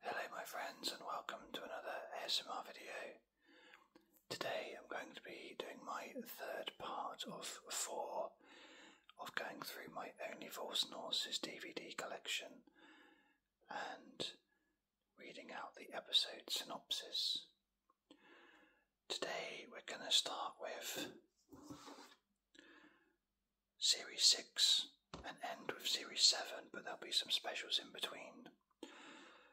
Hello my friends and welcome to another ASMR video. Today I'm going to be doing my third part of four of going through my Only False Noises DVD collection and reading out the episode synopsis. Today we're going to start with Series 6 and end with Series 7, but there'll be some specials in between.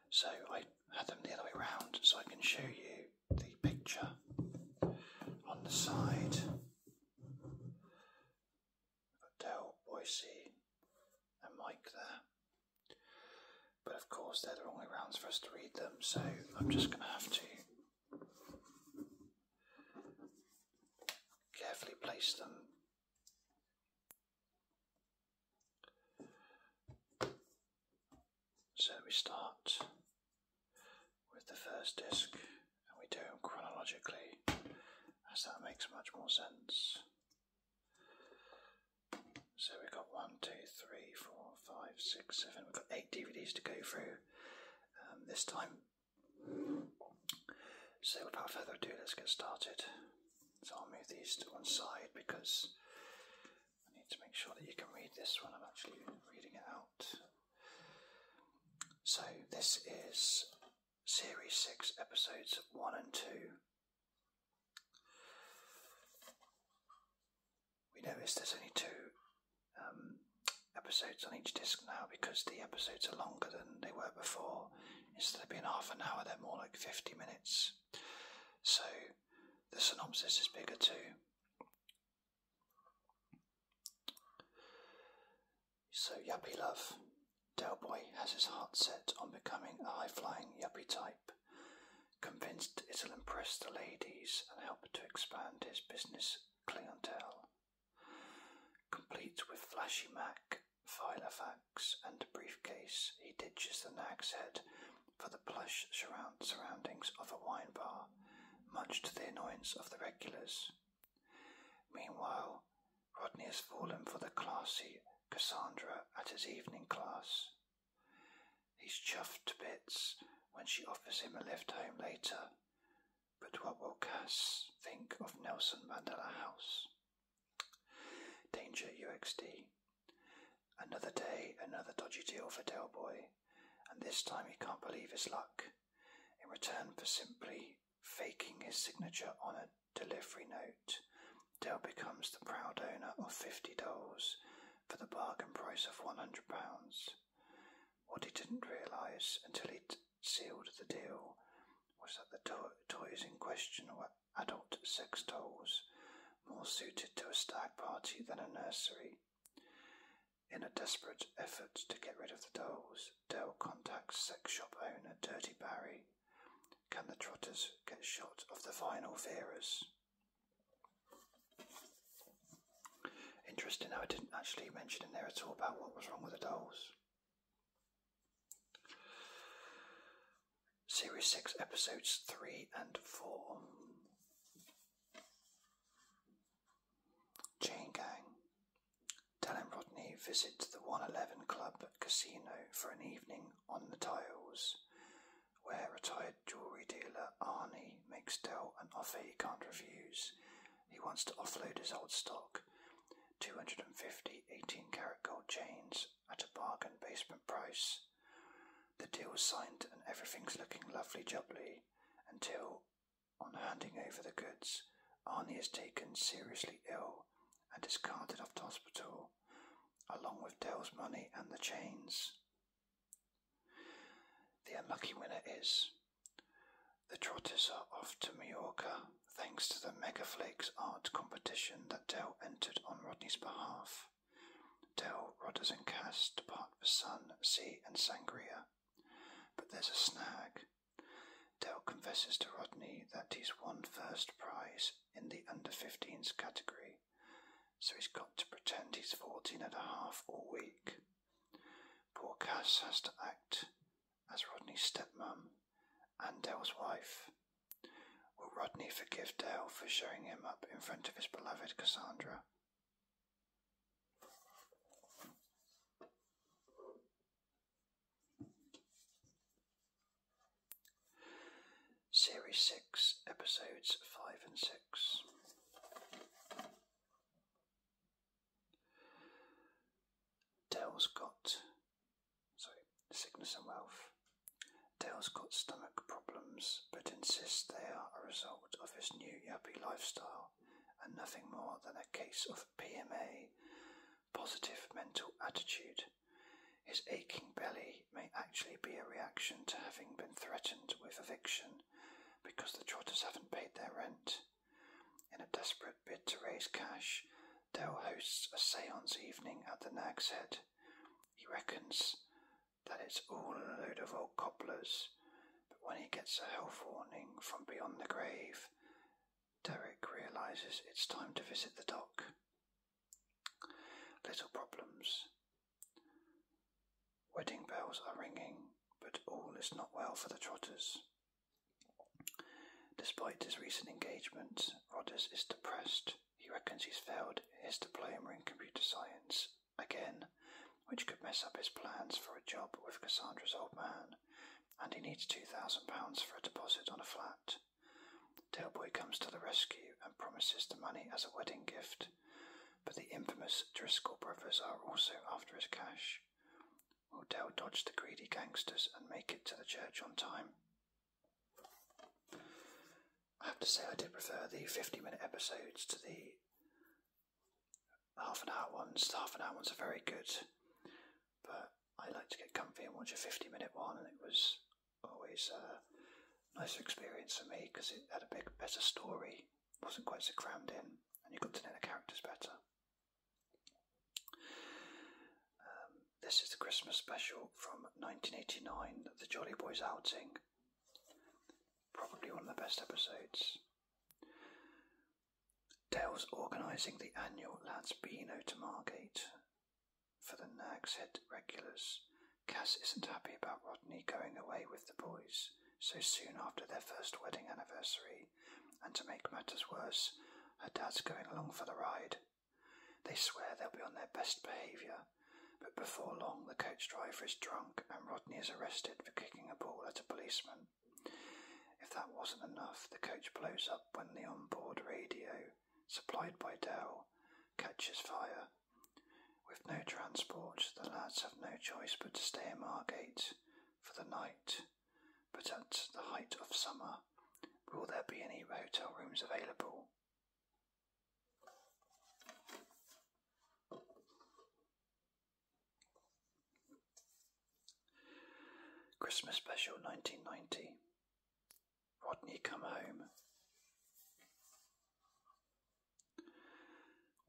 So I had them the other way around so I can show you the picture on the side. i Boise, and Mike there. But of course, they're the wrong way rounds for us to read them, so I'm just going to have to Carefully place them so we start with the first disc and we do them chronologically as that makes much more sense. So we've got one, two, three, four, five, six, seven. We've got eight DVDs to go through. Um, this time so without further ado, let's get started. So I'll move these to one side because I need to make sure that you can read this when I'm actually reading it out. So this is Series 6, Episodes 1 and 2. We notice there's only two um, episodes on each disc now because the episodes are longer than they were before. Instead of being half an hour, they're more like 50 minutes. So the synopsis is bigger too. So, yuppie love. Delboy has his heart set on becoming a high flying yuppie type, convinced it'll impress the ladies and help to expand his business clientele. Complete with flashy Mac, file fax, and briefcase, he ditches the nag's head for the plush surroundings of a wine bar, much to the annoyance of the regulars. Meanwhile, Rodney has fallen for the classy Cassandra at his evening class. He's chuffed to bits when she offers him a lift home later, but what will Cass think of Nelson Mandela House? Danger UXD. Another day, another dodgy deal for Del Boy, and this time he can't believe his luck. In return for simply faking his signature on a delivery note, Dell becomes the proud owner of fifty dolls for the bargain price of one hundred pounds. What he didn't realise until he sealed the deal was that the toys in question were adult sex dolls, more suited to a stag party than a nursery. In a desperate effort to get rid of the dolls, Dell contacts sex shop owner Dirty Barry. Can the Trotters get shot of the vinyl Veras? Interesting how I didn't actually mention in there at all about what was wrong with the dolls. Series 6, episodes 3 and 4. Chain Gang. Tell him Rodney visits the 111 Club Casino for an evening on the tiles, where retired jewellery dealer Arnie makes Dell an offer he can't refuse he wants to offload his old stock. 250 18 carat gold chains at a bargain basement price. The deal's signed and everything's looking lovely jubbly until, on handing over the goods, Arnie is taken seriously ill and is carted off to hospital, along with Dale's money and the chains. The unlucky winner is the Trotters are off to Majorca thanks to the Megaflix art competition that Dell entered on Rodney's behalf. Dell, Rodders, and Cass depart for Sun, Sea, and Sangria. But there's a snag. Dell confesses to Rodney that he's won first prize in the under 15s category, so he's got to pretend he's 14 and a half all week. Poor Cass has to act as Rodney's stepmom and Dale's wife. Will Rodney forgive Dale for showing him up in front of his beloved Cassandra? Series 6, episodes 5 and 6. Dale's got, sorry, sickness and wealth. Dale's got stomach problems, but insists they are a result of his new yuppie lifestyle and nothing more than a case of PMA, positive mental attitude. His aching belly may actually be a reaction to having been threatened with eviction because the trotters haven't paid their rent, in a desperate bid to raise cash, Dell hosts a seance evening at the Nag's Head. He reckons that it's all a load of old cobblers, but when he gets a health warning from beyond the grave, Derek realizes it's time to visit the dock. Little problems. Wedding bells are ringing, but all is not well for the Trotters. Despite his recent engagement, Rodders is depressed. He reckons he's failed his diploma in computer science again, which could mess up his plans for a job with Cassandra's old man, and he needs £2,000 for a deposit on a flat. Tailboy comes to the rescue and promises the money as a wedding gift, but the infamous Driscoll brothers are also after his cash church. Odell dodge the greedy gangsters and make it to the church on time. I have to say I did prefer the 50 minute episodes to the half an hour ones. The half an hour ones are very good, but I like to get comfy and watch a 50 minute one, and it was always a nicer experience for me because it had a big, better story wasn't quite so crammed in, and you got to know the characters better. Um, this is the Christmas special from 1989, The Jolly Boys Outing. Probably one of the best episodes. Dale's organising the annual Lads Beano to Margate for the Nags Head regulars. Cass isn't happy about Rodney going away with the boys, so soon after their first wedding anniversary, and to make matters worse, her dad's going along for the ride. They swear they'll be on their best behaviour, but before long the coach driver is drunk and Rodney is arrested for kicking a ball at a policeman. If that wasn't enough, the coach blows up when the onboard radio, supplied by Dell, catches fire. With no transport, the lads have no choice but to stay in Margate for the night. But at the height of summer, will there be any hotel rooms available? Christmas Special 1990 Rodney Come Home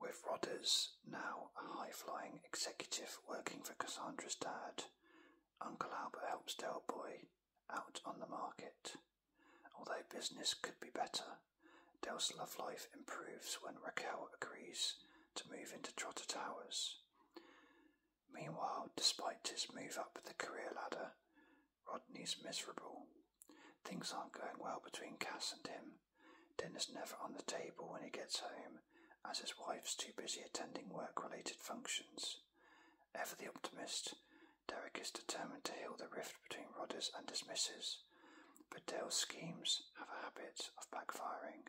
with Rodders now a high flying executive working for Cassandra's dad, Uncle Albert helps Boy out on the market. Although business could be better, Dell's love life improves when Raquel agrees to move into Trotter Towers. Meanwhile, despite his move up the career ladder, Rodney's miserable. Things aren't going well between Cass and him. Dinner's never on the table when he gets home, as his wife's too busy attending work related functions. Ever the optimist, Derek is determined to heal the rift between Rodders and his but Dale's schemes have a habit of backfiring.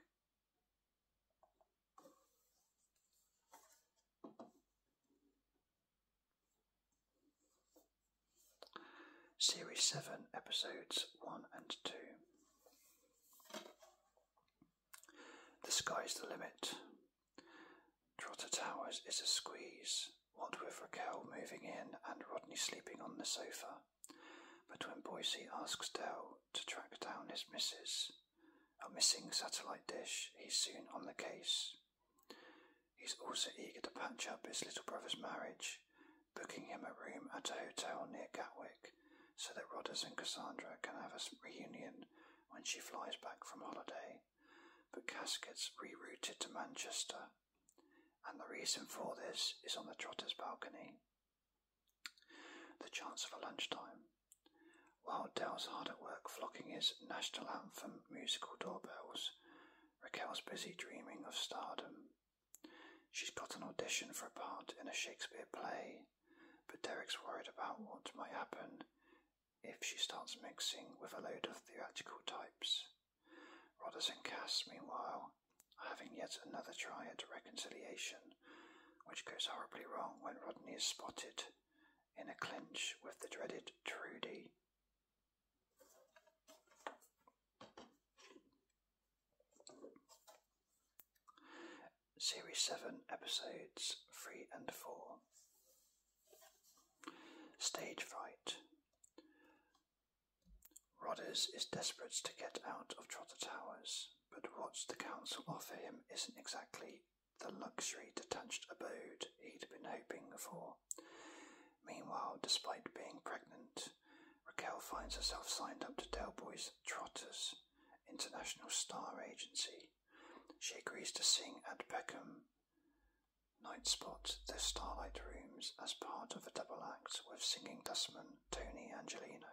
Series 7, Episodes 1 and 2. The sky's the limit. Trotter Towers is a squeeze, what with Raquel moving in and Rodney sleeping on the sofa. But when Boise asks Dell to track down his missus, a missing satellite dish, he's soon on the case. He's also eager to patch up his little brother's marriage booking him a room at a hotel near Gatwick so that Rodders and Cassandra can have a reunion when she flies back from holiday, but Cass gets rerouted to Manchester, and the reason for this is on the Trotter's balcony. The chance of a lunchtime. While Dell's hard at work flocking his national anthem musical doorbells, Raquel's busy dreaming of stardom. She's got an audition for a part in a Shakespeare play, but Derek's worried about what might happen if she starts mixing with a load of theatrical types. Rodders and Cass, meanwhile, are having yet another try at reconciliation, which goes horribly wrong when Rodney is spotted in a clinch with the dreaded Trudy. Series 7, Episodes 3 and 4. Stage Fright. Rodders is desperate to get out of Trotter Towers, but what the council offer him isn't exactly the luxury detached abode he'd been hoping for. Meanwhile, despite being pregnant, Raquel finds herself signed up to Boy's Trotters International Star Agency. She agrees to sing at Beckham Night Spot, the Starlight Rooms, as part of a double act with singing dustman Tony Angelino.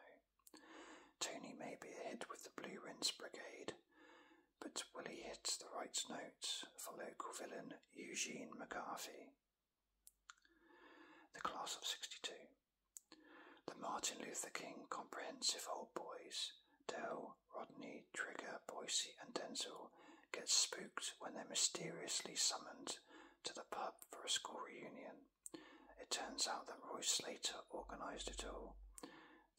Tony may be a hit with the Blue Rinse Brigade, but will he hit the right note for local villain Eugene McGarvey? The Class of 62. The Martin Luther King Comprehensive Old Boys, Dell, Rodney, Trigger, Boise, and Denzel, get spooked when they're mysteriously summoned to the pub for a school reunion. It turns out that Roy Slater organised it all.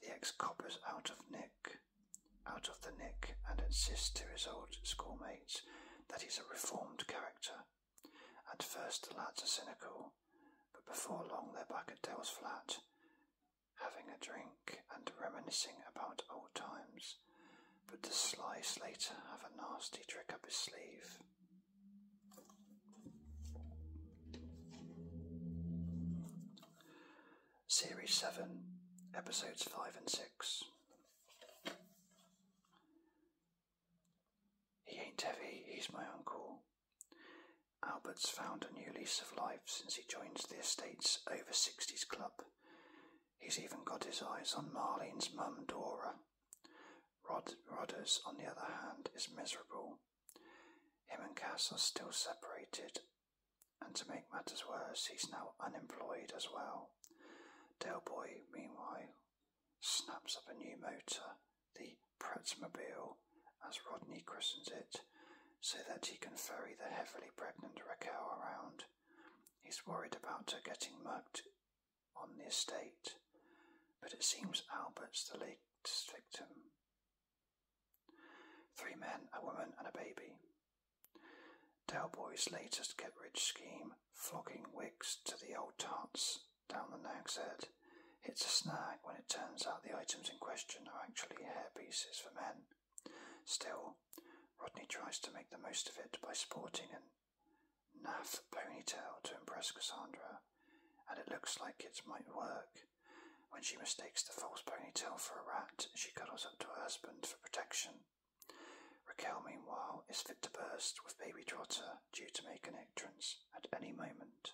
The ex coppers out of Nick, out of the Nick, and insists to his old schoolmates that he's a reformed character. At first the lads are cynical, but before long they're back at Dale's flat, having a drink and reminiscing about old times. But the Sly Slater has a nasty trick up his sleeve? Series 7, Episodes 5 and 6. He ain't heavy, he's my uncle. Albert's found a new lease of life since he joined the estate's over 60s club. He's even got his eyes on Marlene's mum, Dora. Rod Rodders, on the other hand, is miserable. Him and Cass are still separated, and to make matters worse, he's now unemployed as well. Delboy, meanwhile, snaps up a new motor, the Pratsmobile, as Rodney christens it, so that he can ferry the heavily pregnant Raquel around. He's worried about her getting mugged on the estate, but it seems Albert's the latest victim. Three men, a woman, and a baby. Dalboy's latest get-rich scheme, flogging wigs to the old tarts down the Nag's Head, hits a snag when it turns out the items in question are actually hairpieces for men. Still, Rodney tries to make the most of it by sporting a naff ponytail to impress Cassandra, and it looks like it might work. When she mistakes the false ponytail for a rat, she cuddles up to her husband for protection. Raquel, meanwhile, is fit to burst with baby Trotter due to make an entrance at any moment.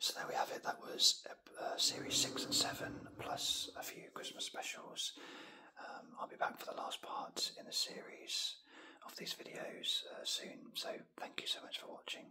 So there we have it. That was uh, uh, series six and seven, plus a few Christmas specials. Um, I'll be back for the last part in the series of these videos uh, soon. So thank you so much for watching.